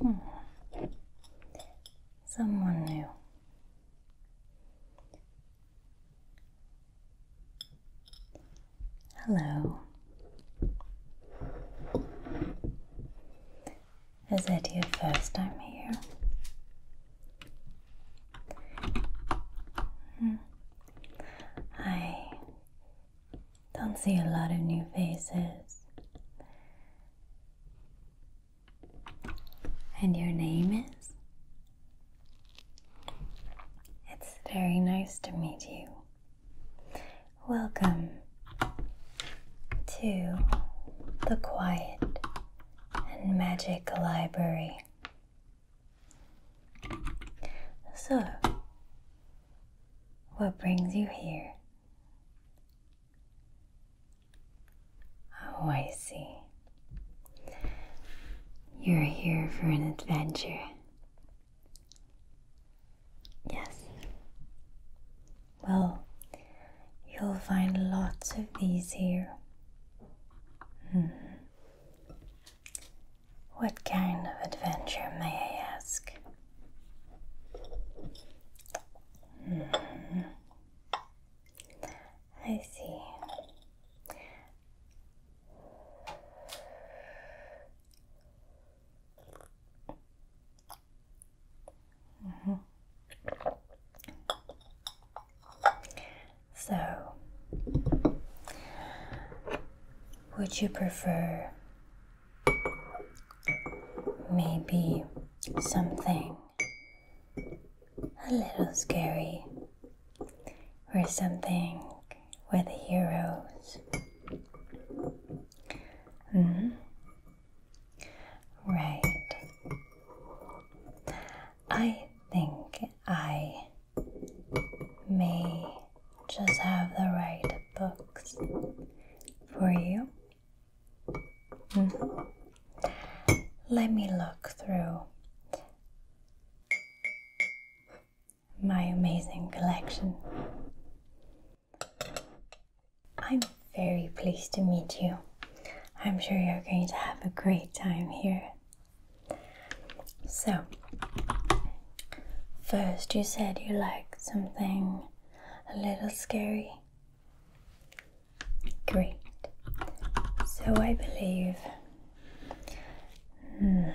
Hmm. Someone new. Hello. Is that your first time here? Hmm. I don't see a lot of new faces. And your name is? It's very nice to meet you. Welcome to the quiet and magic library. So, what brings you here? Oh, I see. You're here for an adventure. Yes. Well, you'll find lots of these here. Mm. What kind of adventure, may I ask? Hmm. I see. Mm-hmm. So, would you prefer maybe something a little scary or something with heroes? -hmm. Right. I think I may just have the right books for you. Mm-hmm. Let me look through my amazing collection. I'm very pleased to meet you. I'm sure you're going to have a great time here so, first you said you liked something a little scary. Great. So I believe. Hmm,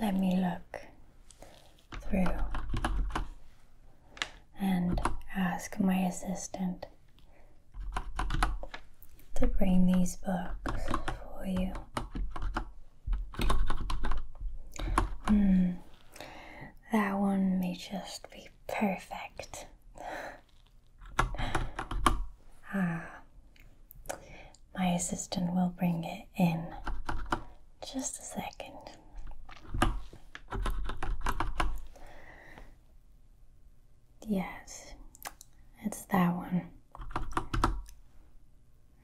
let me look through and ask my assistant to bring these books for you. Hmm, that one may just be perfect. ah, my assistant will bring it in just a second. Yes, it's that one.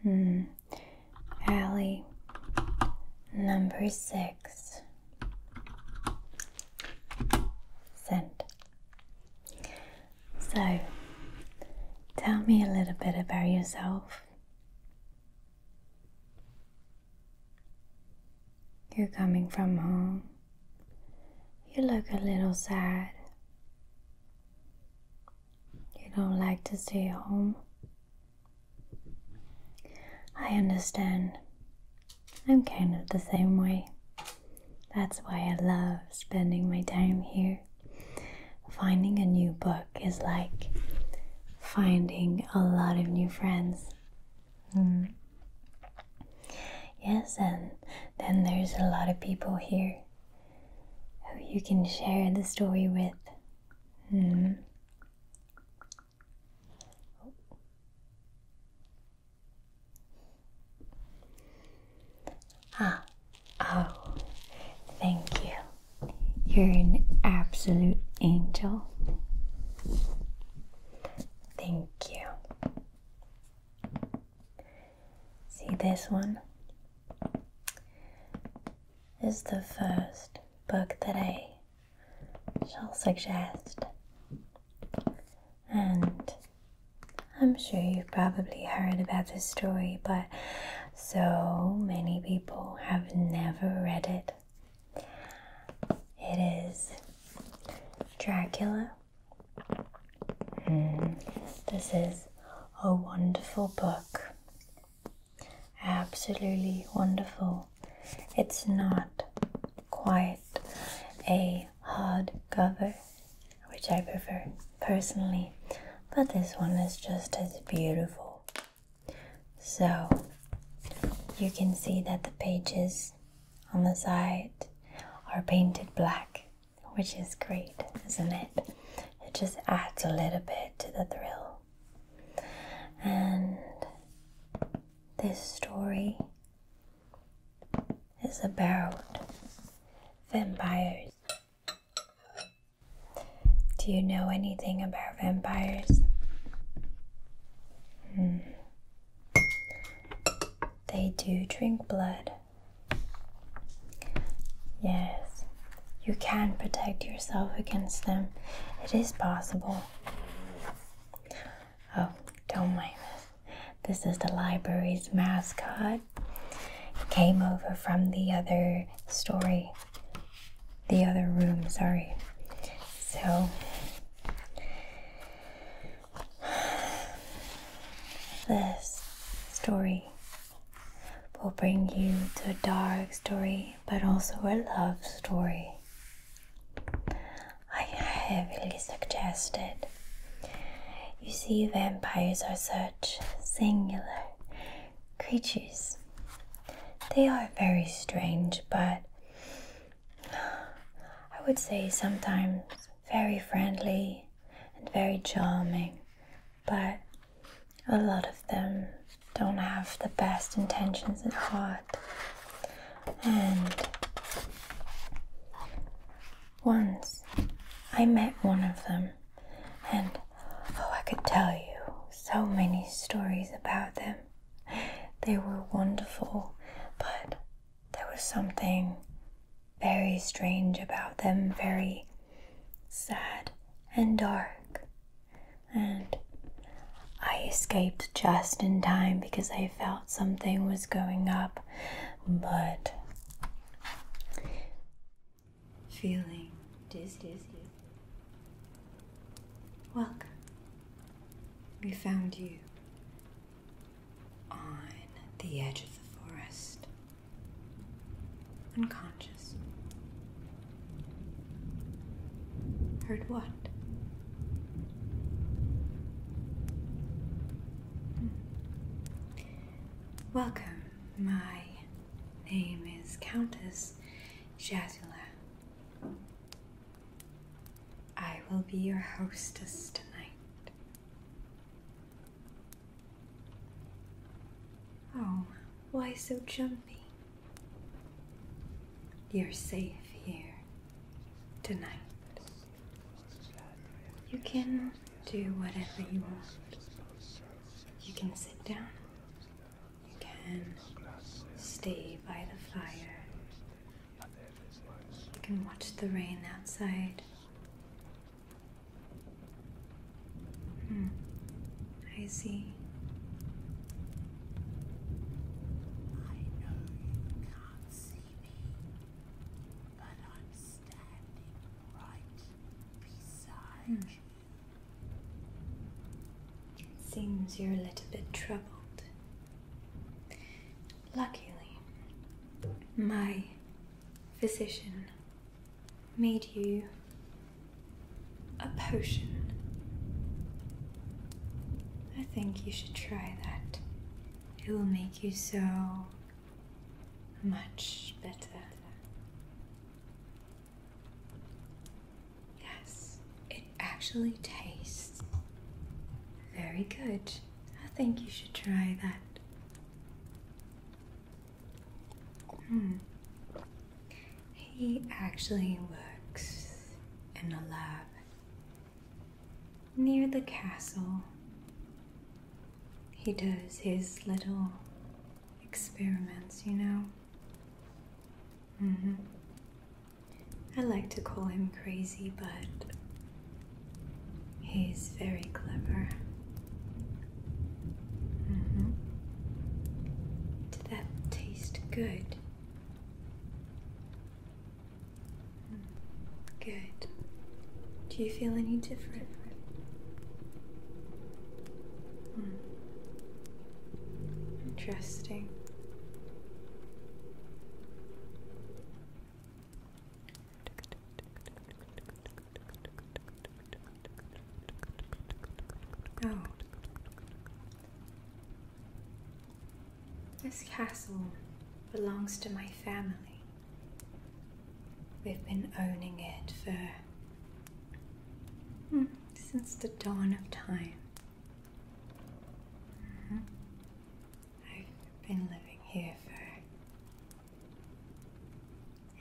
Hmm. Ali, number six. Sent. So, tell me a little bit about yourself. You're coming from home. You look a little sad. You don't like to stay home. I understand. I'm kind of the same way. That's why I love spending my time here. Finding a new book is like finding a lot of new friends. Mm. Yes, and then there's a lot of people here who you can share the story with. Mm. Ah, oh, thank you. You're an absolute angel. Thank you. See this one? Is the first book that I shall suggest. And I'm sure you've probably heard about this story, but so many people have never read it. It is Dracula. Hmm. This is a wonderful book. Absolutely wonderful. It's not quite a hard cover, which I prefer personally, but this one is just as beautiful. So you can see that the pages on the side are painted black, which is great, isn't it? It just adds a little bit to the thrill. And this story is about vampires. Do you know anything about vampires. Hmm. They do drink blood. Yes, you can protect yourself against them. It is possible. Oh, don't mind this. This is the library's mascot. came over from the other story, the other room, sorry. So this story will bring you to a dark story, but also a love story. I heavily suggested. You see, vampires are such singular creatures. They are very strange, but I would say sometimes very friendly and very charming, but a lot of them don't have the best intentions at heart. And once I met one of them, and oh, I could tell you so many stories about them. They were wonderful, but there was something very strange about them, very sad and dark. And I escaped just in time because I felt something was going up, but feeling dizzy. Welcome. We found you on the edge of the forest, unconscious. Heard what? Hmm. Welcome. My name is Countess Jazula. I will be your hostess tonight. Oh, why so jumpy? You're safe here tonight. You can do whatever you want. You can sit down. You can stay by the fire you can watch the rain outside. Hmm. I see. Hmm. seems you're a little bit troubled. Luckily, my physician made you a potion. I think you should try that. It will make you so much better. Yes, it actually tastes very good. I think you should try that. Hmm. He actually works in a lab near the castle. He does his little experiments, you know. hmm I like to call him crazy, but he's very clever. Mm-hmm. Did that taste good? Hmm, good. Do you feel any different? Hmm. Interesting. Oh. This castle belongs to my family. We've been owning it for. Hmm, since the dawn of time. I've been living here for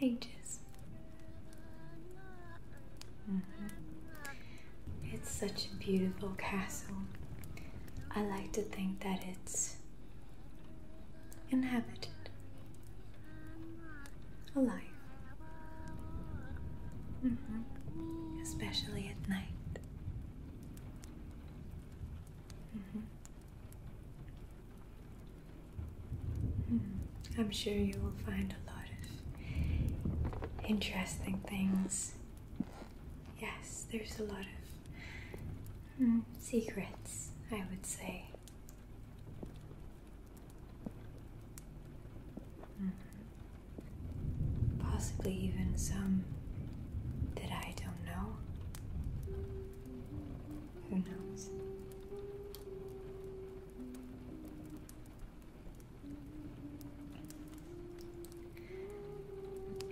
ages. Mm-hmm. It's such a beautiful castle. I like to think that it's inhabited, alive, mm-hmm. especially at night. Mm-hmm. I'm sure you will find a lot of interesting things. Yes, there's a lot of mm, secrets, I would say. Mm-hmm. Possibly even some that I don't know. Who knows?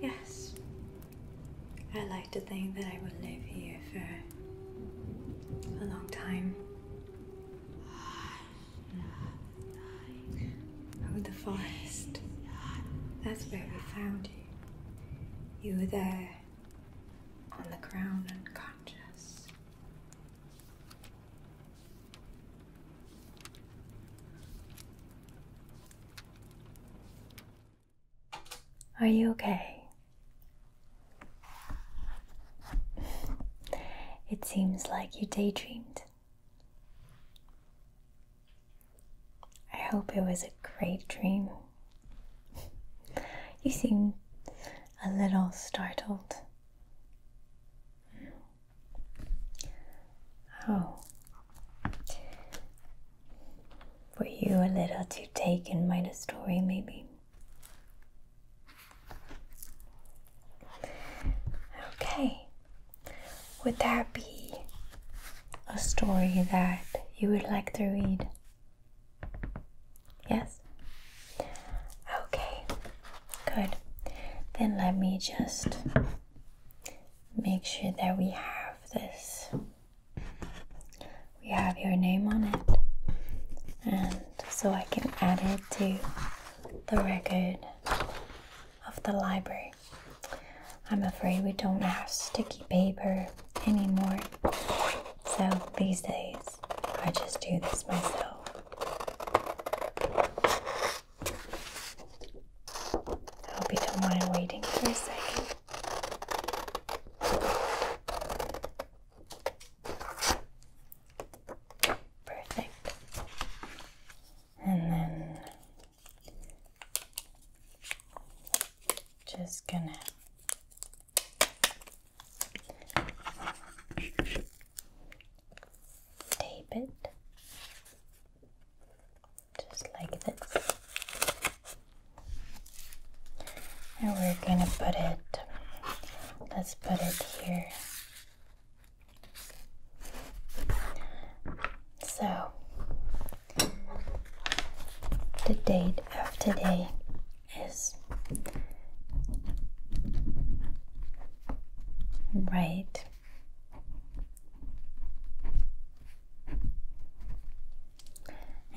Yes. I like to think that I will live here for a long time. Oh, the forest. That's where we found you. You were there, on the ground, unconscious. Are you okay? It seems like you daydreamed. I hope it was a great dream. you seem a little startled. Oh. Were you a little too taken by the story, maybe? Okay. Would that be a story that you would like to read? Yes? Okay, good. Then let me just make sure that we have this. We have your name on it, and so I can add it to the record of the library. I'm afraid we don't have sticky paper anymore. So these days, I just do this myself. I hope you do waiting for a second. Perfect and then just gonna tape it just like this and we're gonna put it let's put it here so, the date of today is right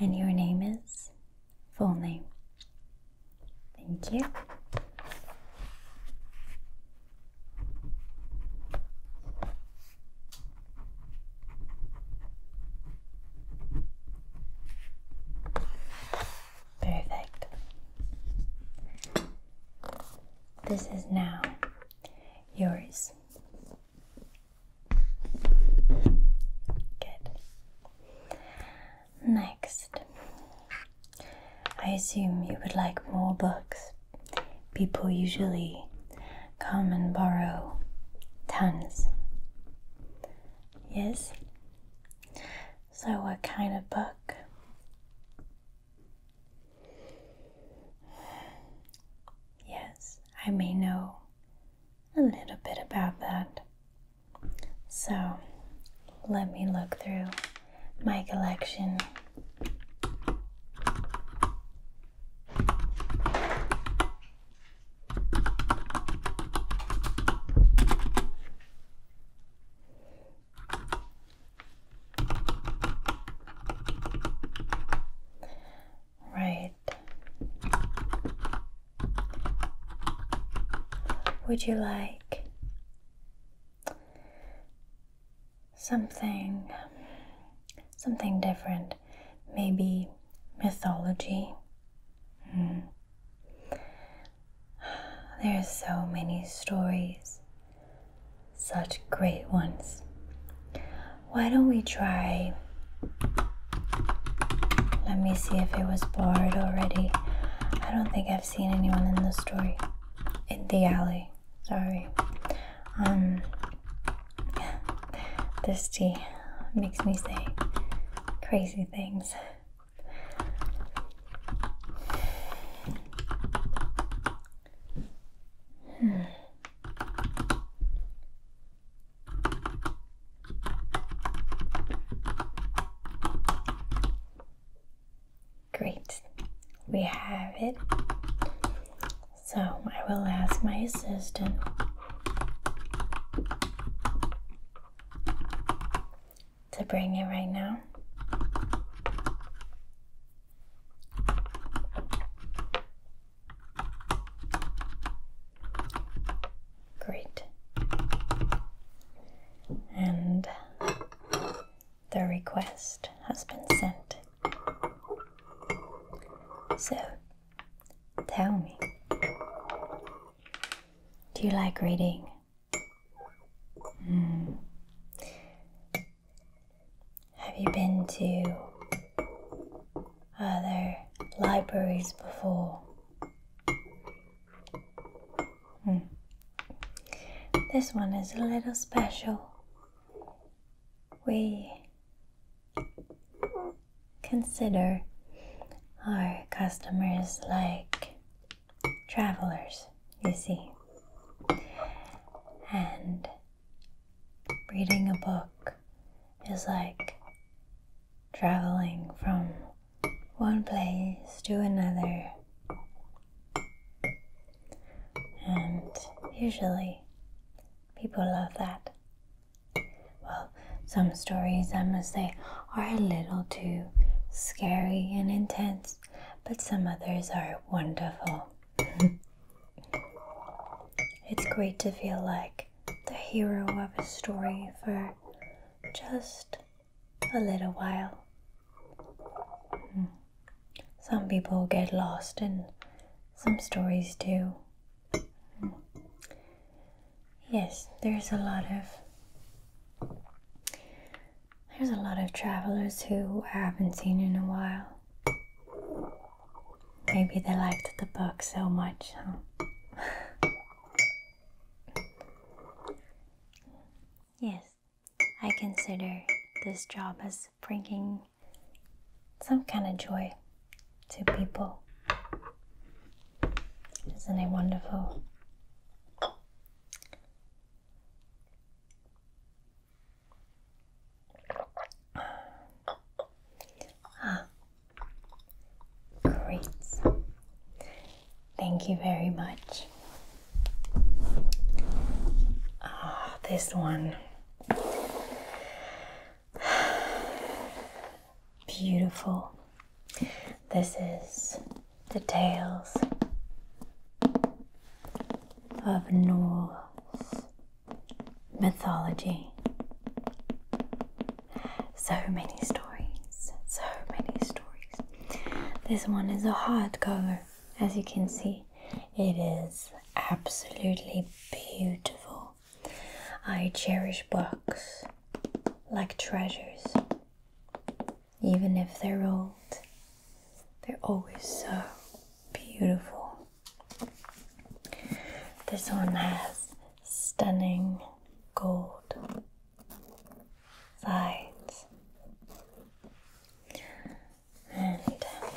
and your name is full name thank you Perfect. This is now yours. Good. Next, I assume you would like more books. People usually come and borrow tons. Yes? So, what kind of book? Yes, I may know a little bit about that. So, let me look through my collection. Right. Would you like something something different maybe mythology hmm. There's so many stories such great ones why don't we try let me see if it was barred already i don't think i've seen anyone in the story in the alley Sorry. Um, this tea makes me say crazy things. Great, we have it. So I will ask my assistant. To bring it right now. Great. And the request has been sent. So, tell me, do you like reading? Hmm. Have you been to other libraries before? Hmm. This one is a little special we consider our customers like travelers, you see. And reading a book is like traveling from one place to another and usually people love that. Well, some stories, I must say, are a little too scary and intense, but some others are wonderful. it's great to feel like the hero of a story for just a little while. Hmm. Some people get lost, and some stories do. Yes, there's a lot of there's a lot of travelers who I haven't seen in a while. Maybe they liked the book so much, yes. I consider this job as bringing some kind of joy to people. Isn't it wonderful? Ah, great. Thank you very much. Oh, this one. Beautiful. This is the tales of Norse mythology. So many stories, so many stories. This one is a hard color, as you can see. It is absolutely beautiful. I cherish books like treasures. Even if they're old, they're always so beautiful. This one has stunning gold sides. And um,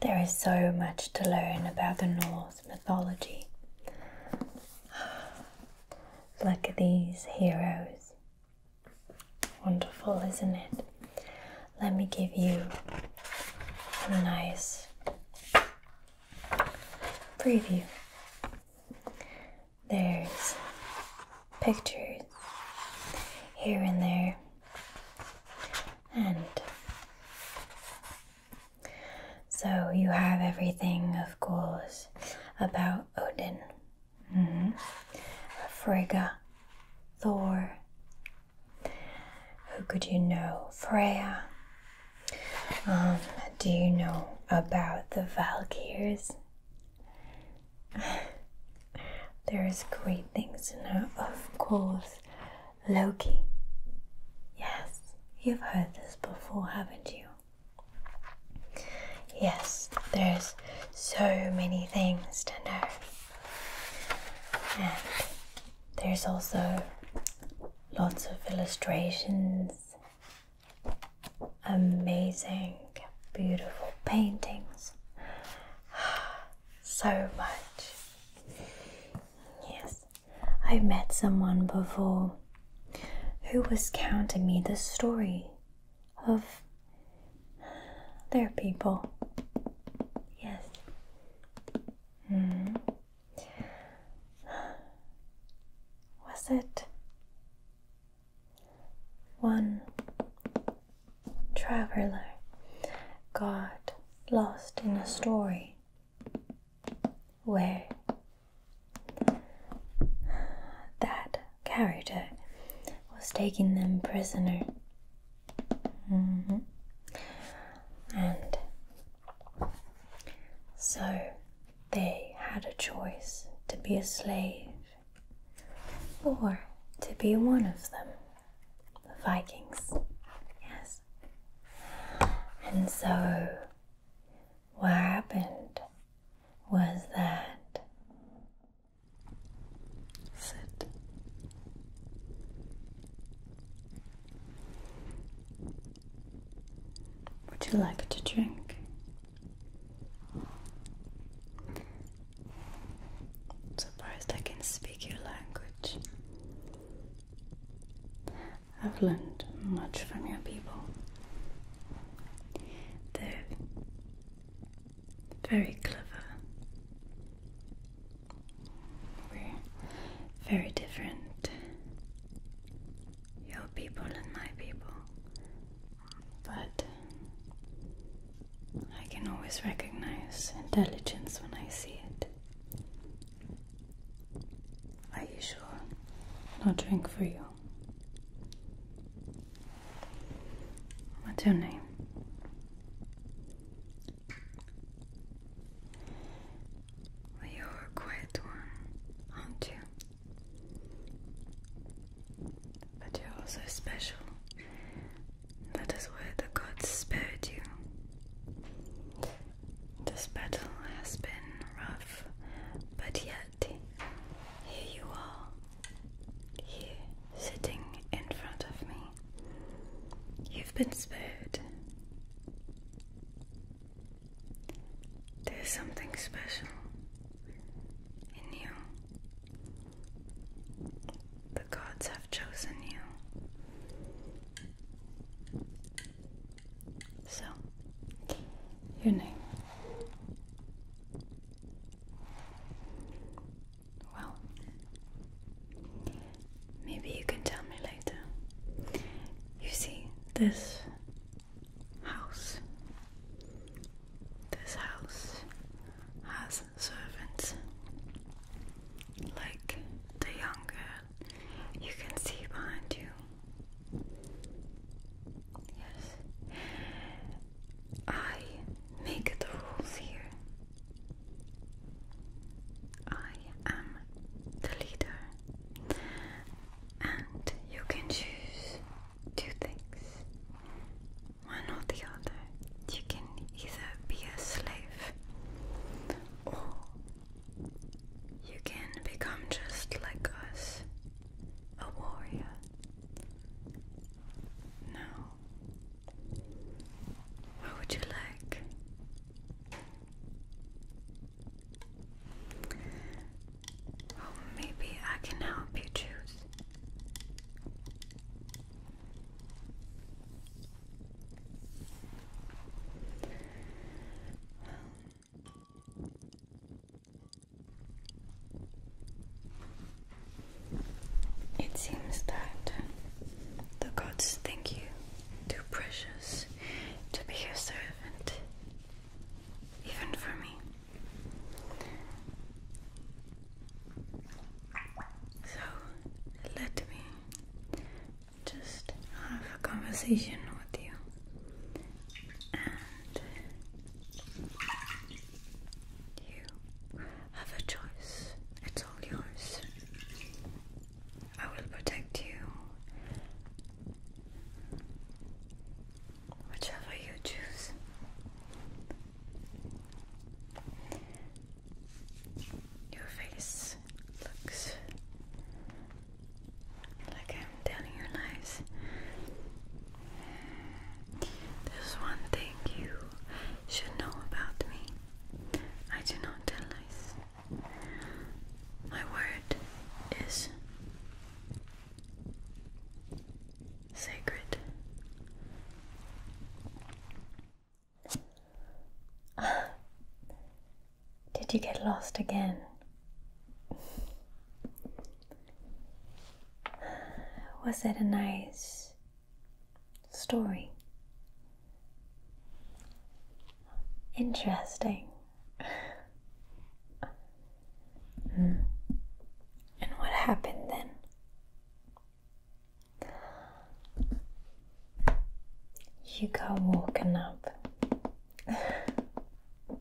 there is so much to learn about the Norse mythology. Look at these heroes. Wonderful, isn't it? Let me give you a nice preview. There's pictures here and there. And so you have everything, of course, about Odin. Mm Frigga, Thor. Who could you know? Freya. Um, do you know about the Valkyrs? there is great things in her, of course. Loki. Yes, you've heard this before, haven't you? Yes, there's so many things to know. And there's also lots of illustrations, amazing, beautiful paintings, so much. Yes, I met someone before who was counting me the story of their people. Yes. Hmm. Was it one traveler got lost in a story where that character was taking them prisoner. Mm-hmm. And so they had a choice to be a slave or to be one of them, the Vikings. Yes. And so, what happened was that. Sit. Would you like to drink? I'm surprised I can speak your language. I've learned much from your people. They're very clever. We're very different. Your people and my people but I can always recognize intelligence when I see it. Are you sure? I'll drink for you. What's your name? you're a quiet one, aren't you? But you're also special. That is why the gods spared you. This battle has been rough, but yet here you are, here sitting in front of me. You've been spared. There's something special in you. The gods have chosen you. So, your name. Well, maybe you can tell me later. You see, this house, this house has servants, like the younger, you can see behind you. Yes, I make the rules here. I am the leader, and you can choose two things one or the other. You can either be a slave or you can become just like us, a warrior. Now, what would you like? Oh, maybe I can help you choose. It seems that the gods think you too precious to be your servant, even for me. So let me just have a conversation with you and you have a choice. It's all yours. I will protect you whichever you choose. Your face looks like I'm telling your lies. There's one thing you should know about me. I do not tell lies. My word is sacred. Did you get lost again? Was it a nice story? Interesting. mm. And what happened then? You got woken up. well,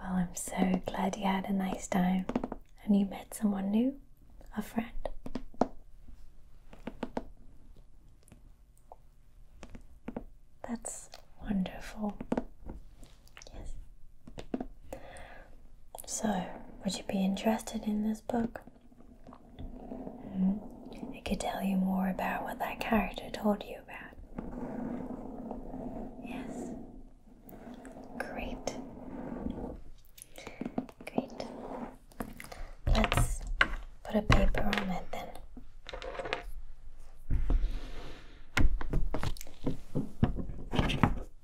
I'm so glad you had a nice time and you met someone new, a friend. That's wonderful. Yes. So, would you be interested in this book? Hmm? It could tell you more about what that character told you about. Yes. Great. Great. Let's put a paper on it then.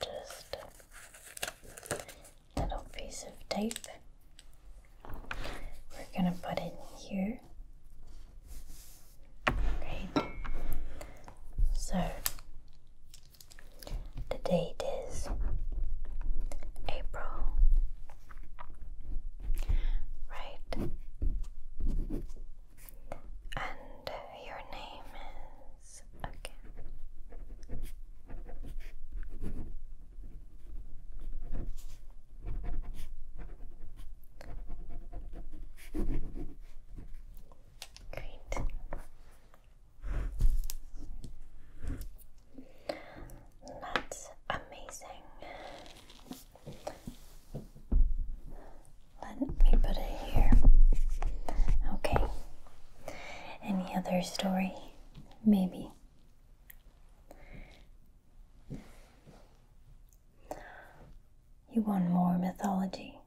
Just little piece of tape we're gonna put in here. Great. So the date is April Right. And your name is again. Great. That's amazing. Let me put it here. Okay. Any other story? Maybe. You want more mythology?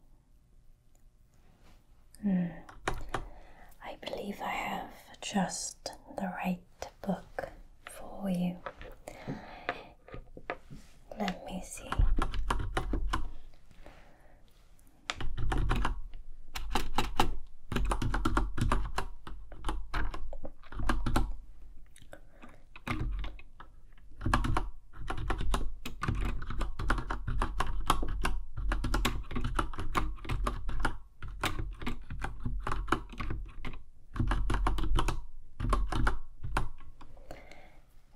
Hmm. I believe I have just the right book for you. Let me see.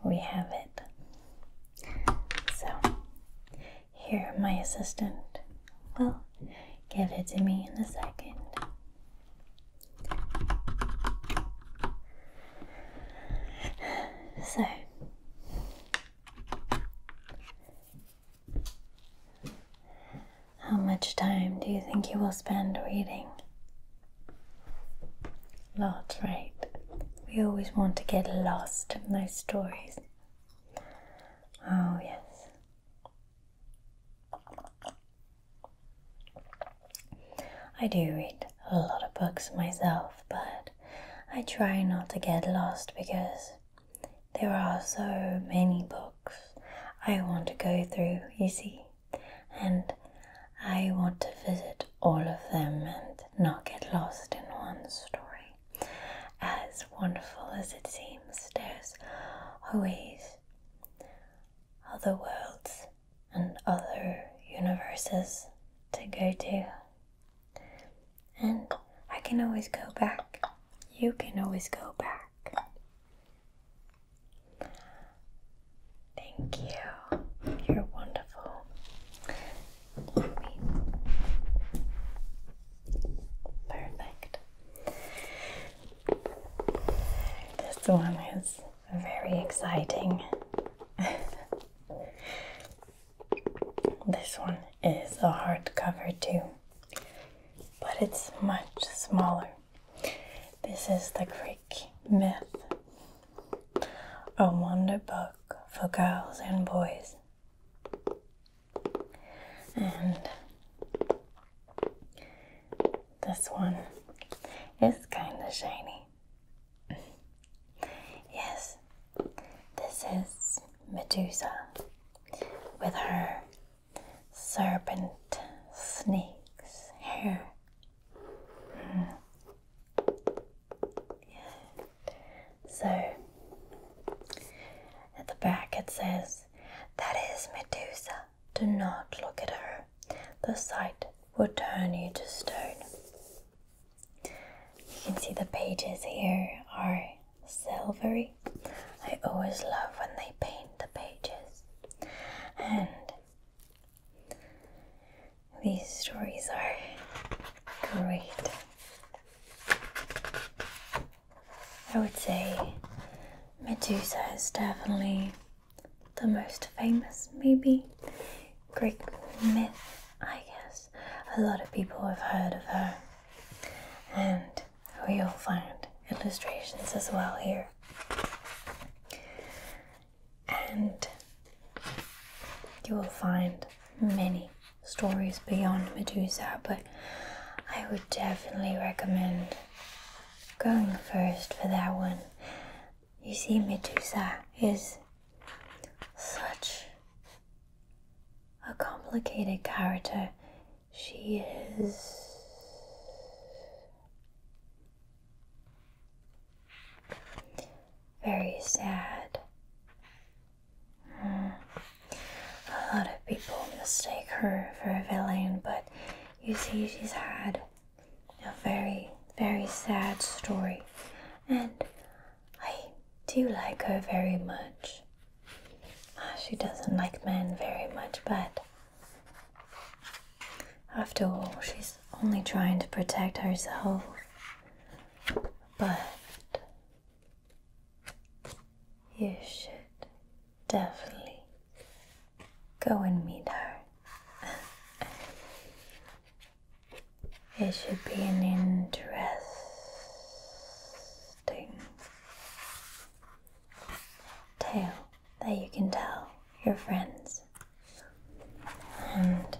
We have it. So, here my assistant will give it to me in a second. So, how much time do you think you will spend reading Lot, right? We always want to get lost in those stories. Oh, yes. I do read a lot of books myself, but I try not to get lost because there are so many books I want to go through, you see and I want to visit all of them and not get lost in one story. As wonderful as it seems, there's always other worlds and other universes to go to. And I can always go back. You can always go back. Thank you. You're wonderful. Perfect. This one is very exciting. this one is a hardcover too, but it's much smaller. This is the Greek myth, a wonder book for girls and boys. And this one is kind of shiny. yes, this is Medusa with her serpent snakes hair yeah. So at the back it says, That is Medusa. Do not look at her. The sight will turn you to stone. You can see the pages here are silvery. I always love when they paint the pages. And these stories are great. I would say Medusa is definitely the most famous, maybe Greek myth, I guess. A lot of people have heard of her, and we will find illustrations as well here and you will find many stories beyond Medusa, but I would definitely recommend going first for that one. You see, Medusa is such a complicated character. She is very sad. Hmm. A lot of people mistake her for a villain, but you see, she's had a very, very sad story, and I do like her very much. Uh, she doesn't like men very much, but after all, she's only trying to protect herself. But you should definitely go and meet her. it should be an interesting tale that you can tell your friends. And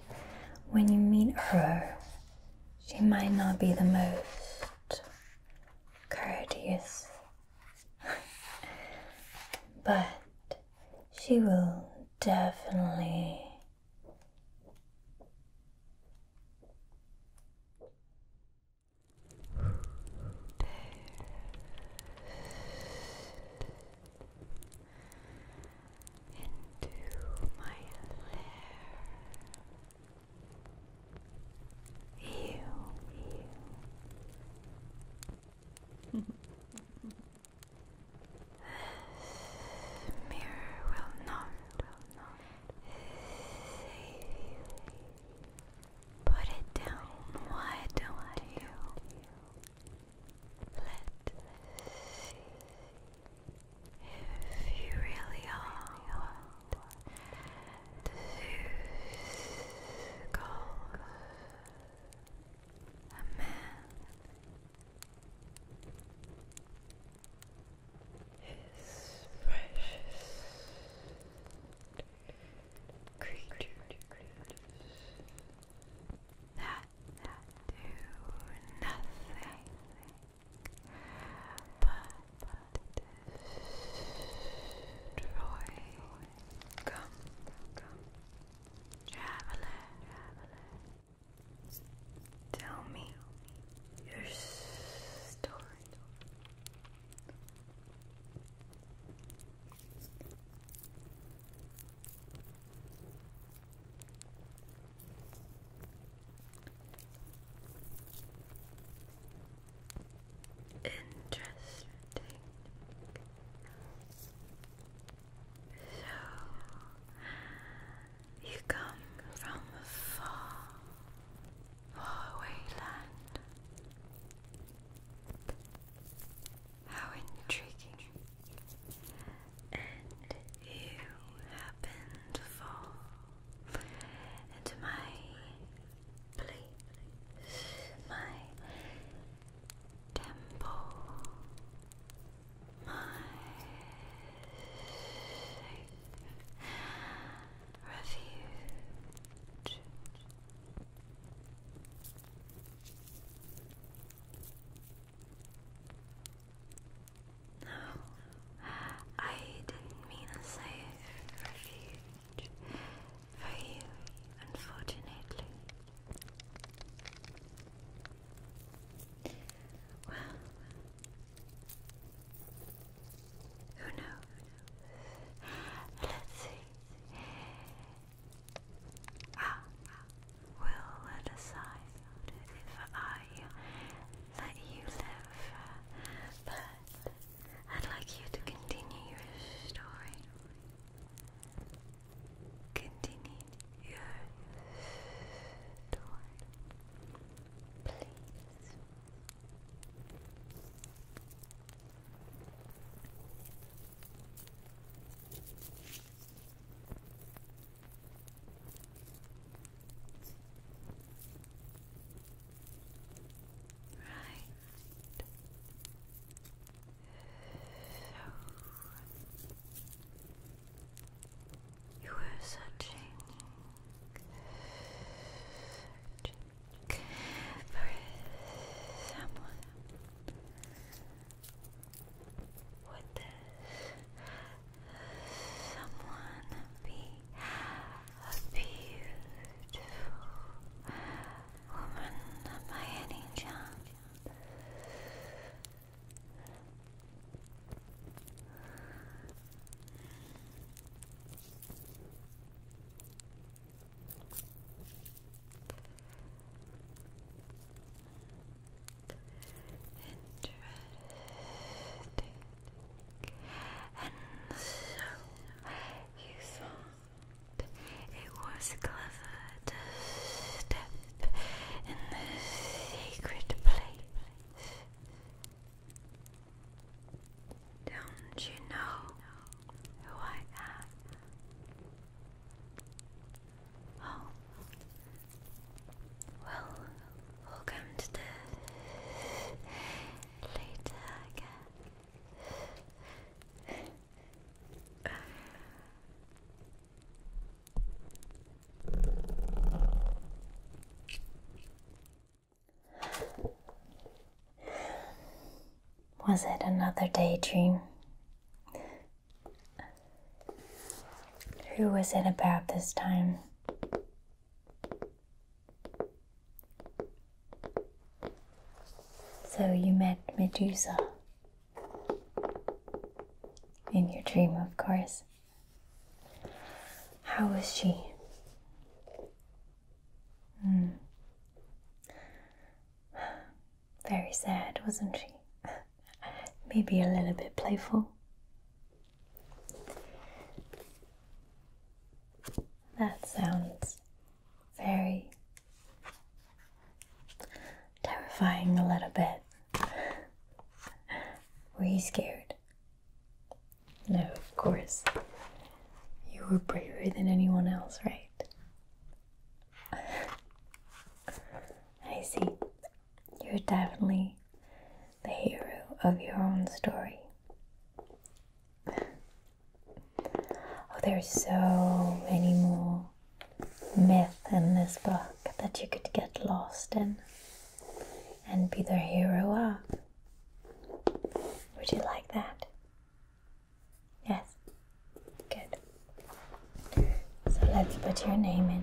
when you meet her, she might not be the most courteous, but she will definitely into my lair. Ew. This mirror will not, Put it down. Why don't you Let's see if you really are want a man is precious creatures that do nothing but destroy gum, traveler. Tell me your story. Interesting. So you come from far, far land. How intriguing. And you happen to fall into my place, my temple, my refuge. No, I didn't mean a safe refuge for you, unfortunately. Well, who knows? Let's see I will decide if I let you live, but I'd like you to continue your story. Continue your story, please. Right. So you were searching, for someone would this someone be a beautiful woman by any chance? Interesting. And so you thought it was clever to step in the sacred place. Don't you know who I am? Oh. Well, welcome to the later was it another daydream? Who was it about this time? So you met Medusa. In your dream, of course. How was she? Mm. Very sad, wasn't she? Maybe a little bit playful. That sounds very terrifying, a little bit. Were you scared? No, of course. You were braver than anyone else, right? I see. You're definitely the hero of your own story. Oh, there's so many more myths in this book that you could get lost in and be the hero of. Would you like that? Yes. Good. So let's put your name in.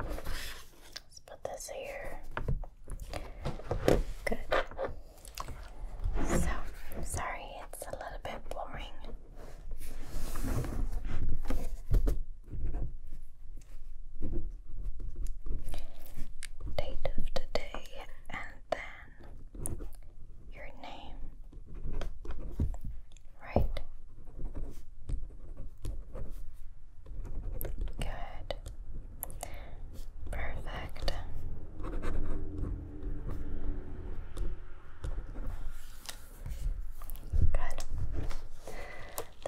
Let's put this here. Good. So, I'm sorry it's a little bit boring. Date of today and then your name, right? Good. Perfect. Good.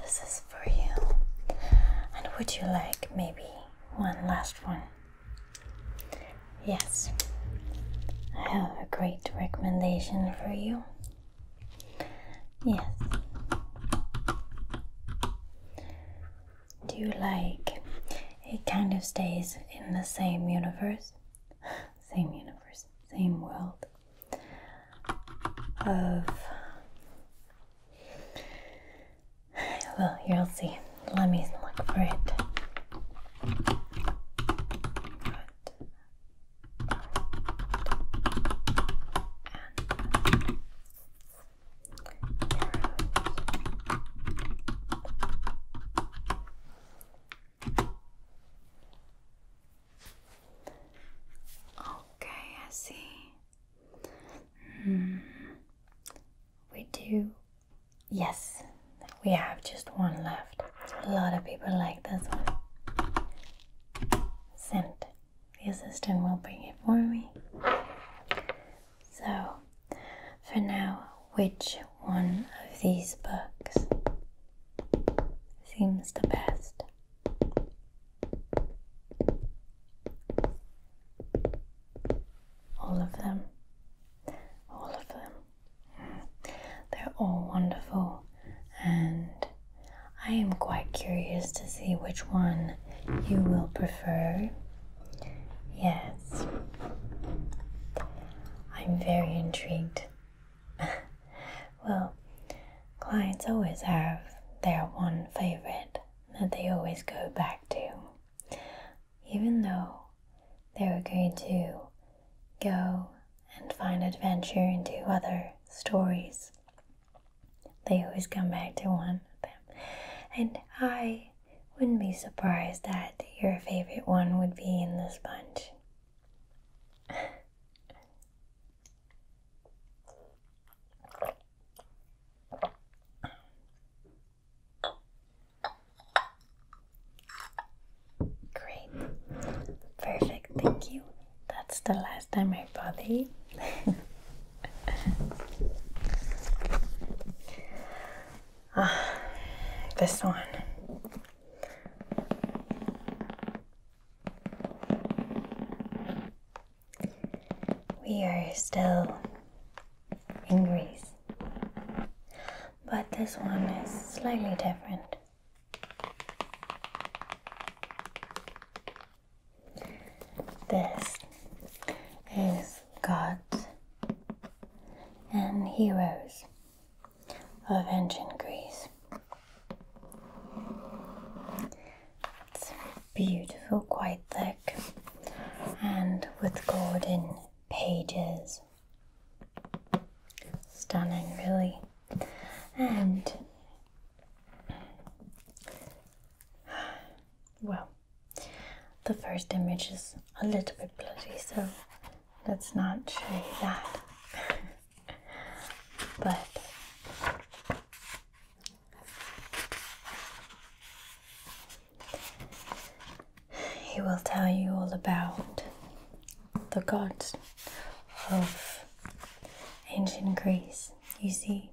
This is for you. And would you like maybe one last one? Yes, I have a great recommendation for you. Yes. Do you like it kind of stays in the same universe? Same universe, same world of well, you'll see. Let me look for it. Okay, I see. Hmm. We do. Yes, we have just one left. A lot of people like this one. Sent. The assistant will bring it for me. So, for now, which one of these books seems the best? All of them. All of them. They're all wonderful, and I am quite curious to see which one you will prefer. Yes. I'm very intrigued. well, clients always have their one favorite that they always go back to even though they are going to go and find adventure into other stories. They always come back to one of them. And I wouldn't be surprised that your favorite one would be in this bunch. Great. Perfect. Thank you. That's the last time I bought ah, this one. We are still in Greece. But this one is slightly different. This is gods and heroes of ancient Greece. Beautiful, quite thick, and with golden pages. Stunning, really. And well, the first image is a little bit bloody, so let's not show you that. but he will tell you all about the gods of ancient Greece, you see.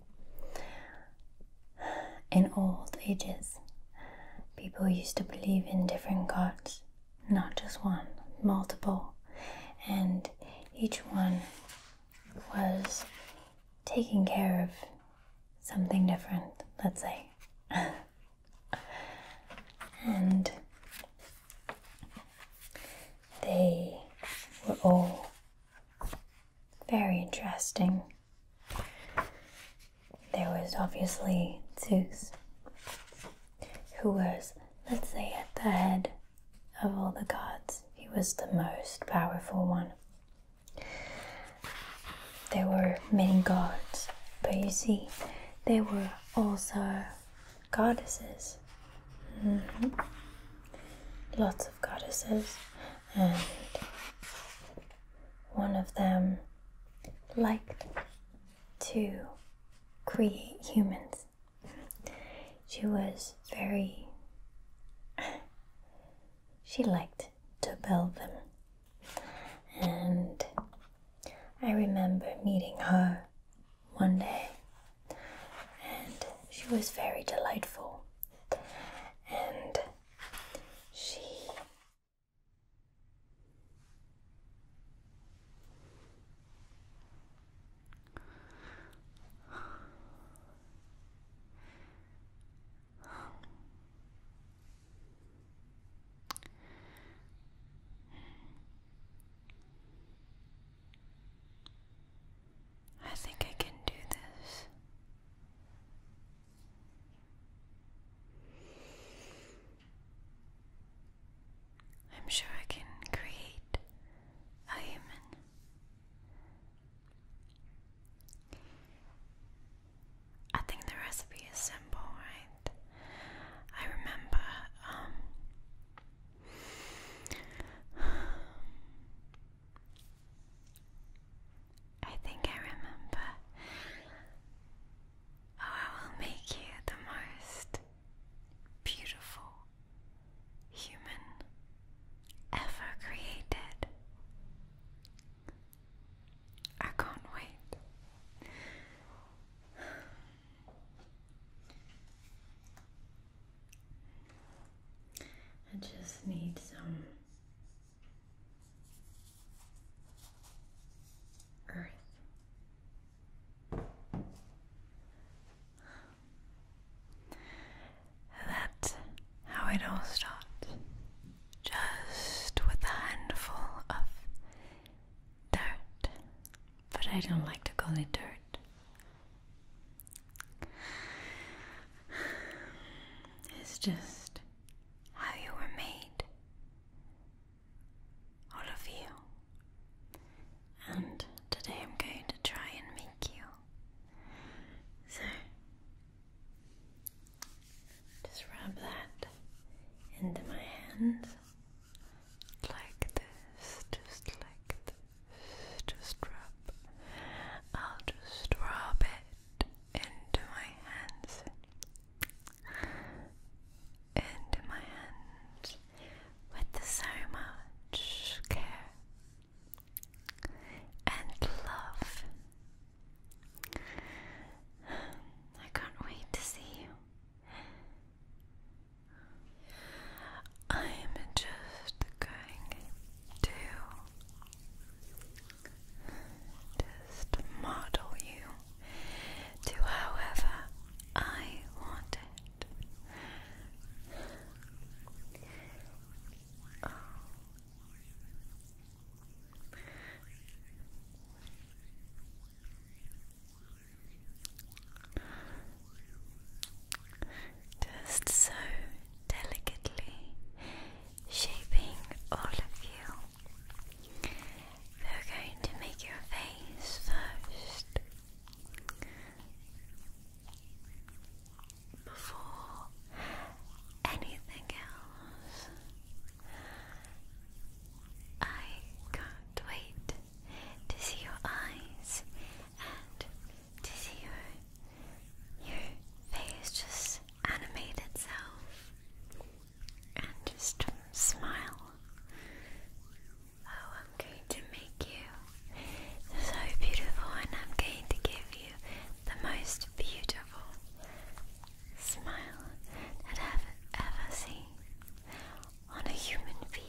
In old ages, people used to believe in different gods, not just one, multiple, and each one was taking care of something different, let's say. and they were all very interesting. There was obviously Zeus, who was, let's say, at the head of all the gods. He was the most powerful one. There were many gods, but you see, there were also goddesses. Mm-hmm. Lots of goddesses, and one of them liked to create humans. She was very. she liked to build them, And I remember meeting her one day, and she was very delightful. And she I think I can do this. I'm sure I can create a human I think the recipe is simple, right? I remember um, I think I remember Oh, I will make you the most beautiful human ever created. I can't wait. I just need some earth. That how it all starts just with a handful of dirt, but I don't like to call it dirt. It's just how you were made, all of you. And today I'm going to try and make you. So, just rub that into my hand like this, just like this. Just rub. I'll just rub it into my hands. Into my hands with so much care and love I can't wait to see you. I'm just going to just model you to however I want it. Just so delicately shaping all of you. We're going to make your face first before anything else. I can't wait to see your eyes and to see your your face just animate itself and just smile. Oh, I'm going to make you so beautiful, and I'm going to give you the most beautiful smile that I've ever seen on a human being.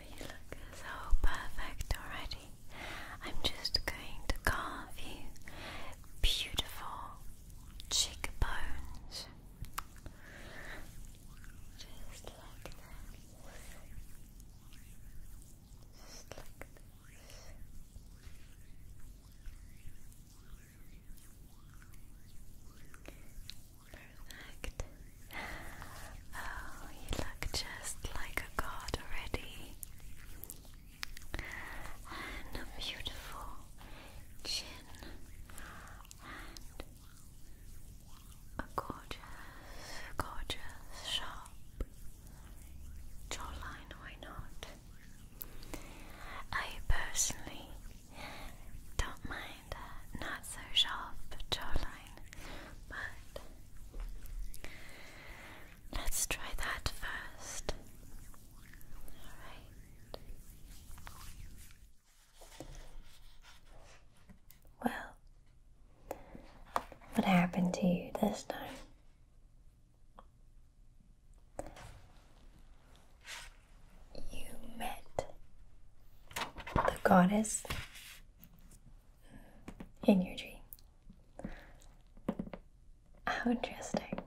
You look so perfect already. I'm just going to carve you beautiful cheekbones. Just like that. Just like this. Perfect. Oh, you look just like a god already. And a beautiful chin and a gorgeous, gorgeous, sharp jawline, why not? I personally don't mind a not so sharp jawline, but let's try that first. Alright. Well, what happened to you this time? You met the goddess in your dream. How interesting.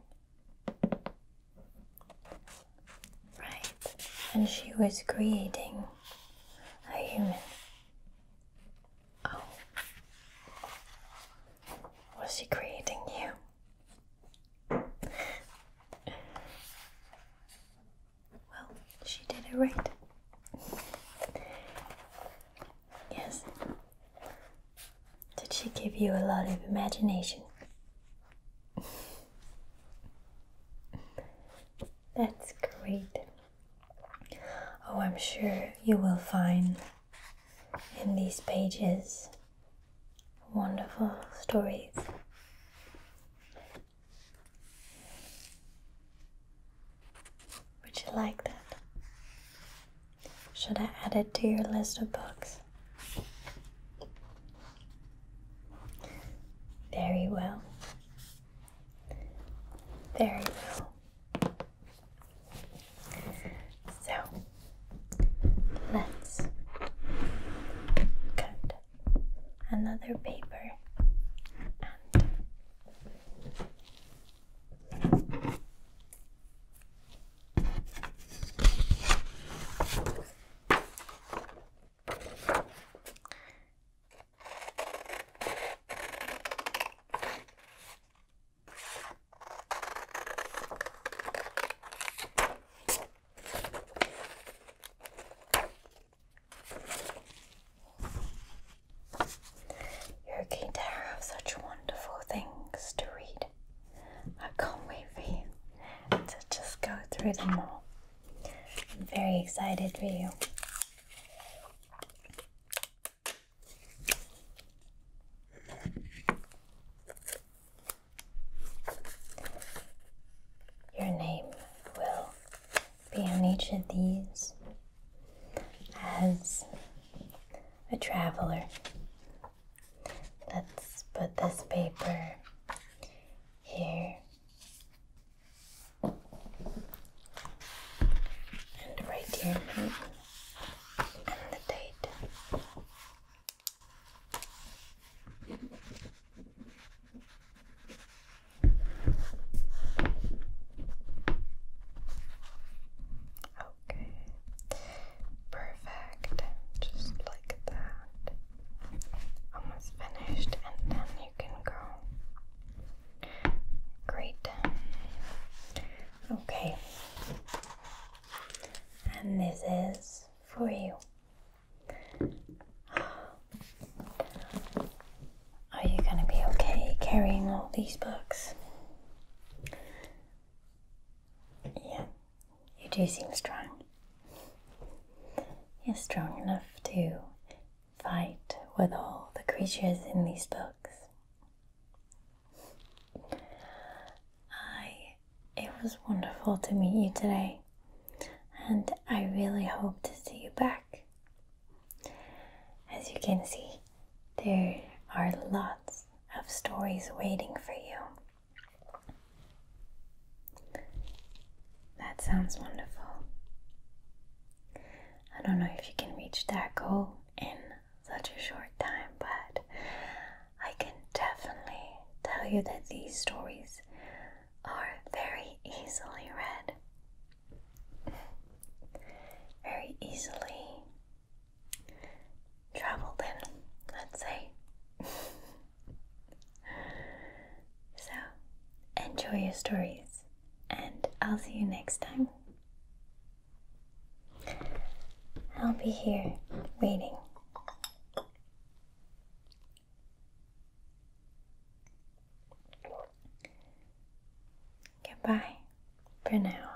Right, and she was creating a human. Oh. Was she creating you? well, she did it right. yes. Did she give you a lot of imagination? That's great. Oh, I'm sure you will find in these pages wonderful stories. Would you like that? Should I add it to your list of books? Very well. There you go. So let's cut another paper you're going to have such wonderful things to read. I can't wait for you to just go through them all. I'm very excited for you. Your name will be on each of these as a traveler. Let's put this paper here and right here and the date. Okay, perfect. Just like that. Almost finished, and then you can go Great. Okay. And this is for you. Are you going to be okay carrying all these books? Yeah, you do seem strong. You're strong enough to fight with all the creatures in these books. I it was wonderful to meet you today, and I really hope to see you back. As you can see, there are lots of stories waiting for you. That sounds wonderful. I don't know if you can reach that goal in such a short time, but I can definitely tell you that these stories are very easily read, very easily traveled in, let's say. so, enjoy your stories and I'll see you next time. I'll be here waiting. Goodbye for now.